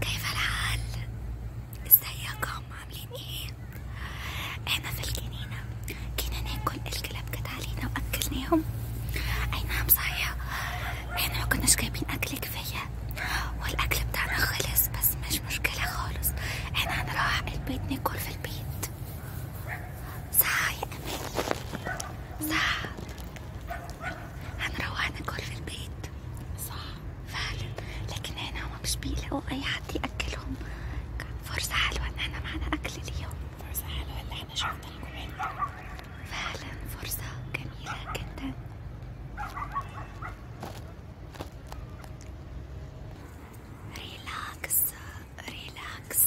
كيف الحال؟ ازيكم عاملين ايه؟ احنا في الجنينة جينا ناكل الكلاب جت علينا واكلناهم اي نعم صحيح احنا مكناش جايبين اكل كفاية والاكل بتاعنا خلص بس مش مشكلة خالص احنا هنروح البيت ناكل في البيت صح يا امال صح هنروح ناكل في البيت صح فعلا لكن هنا هما مش بيلاقوا اي حد ياكلهم فرصة حلوة ان احنا معانا اكل اليوم فرصة حلوة اللي احنا شفنا لكم فعلا فرصة جميلة جدا ريلاكس ريلاكس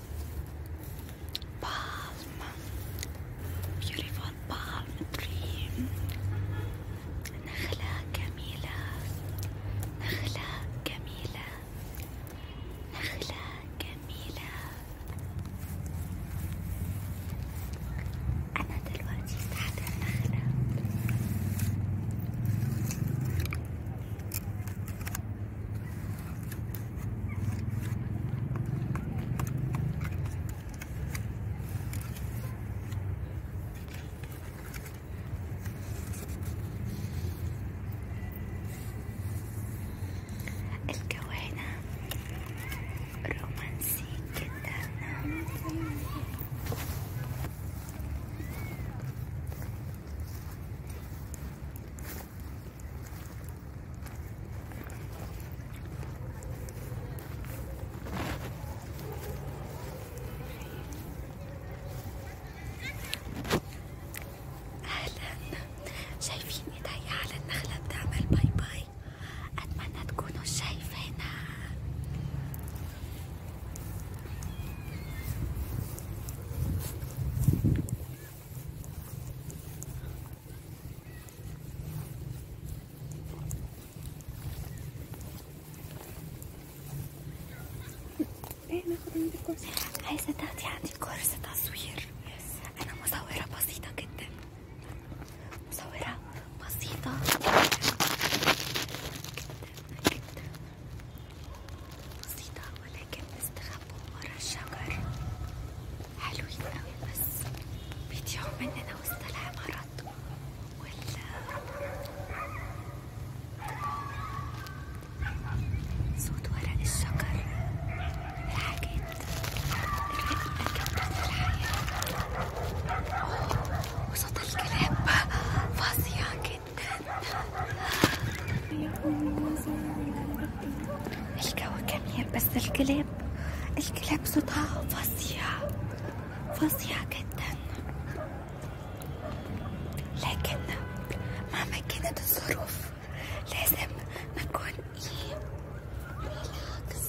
palm, beautiful palm tree نخلة جميلة نخلة جميلة نخلة جميلة أنا دلوقتي تحت النخلة الكوينة رومانسي جدا شايفين ايديا على النخلة بتعمل باي باي أتمنى تكونوا شايفينها عايزة تاخدي عندي كورس تصوير أنا مصورة بسيطة جدا مصورة بسيطة جدا جدا بسيطة ولكن استخبوا ورا الشجر حلوين اوي بس بيضيعوا مننا وسط العمارات وال صوت ورق الشجر الحاجات الرقة جدا للحياة وصوت الكلاب فظيع جدا الجو جميل بس الكلاب الكلاب صوتها فظيع فظيع جدا لكن مهما كانت الظروف لازم نكون ايه ريلاكس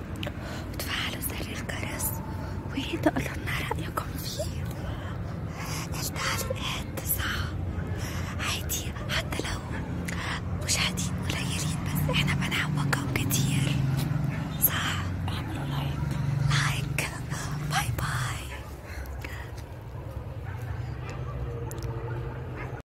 وتفعلوا زر الجرس وتقولوا لنا رأيكم فيه التعليقات تسعة عادي حتى لو مشاهدين قليلين بس احنا بنعوقهم كتير صح اعملوا لايك لايك باي باي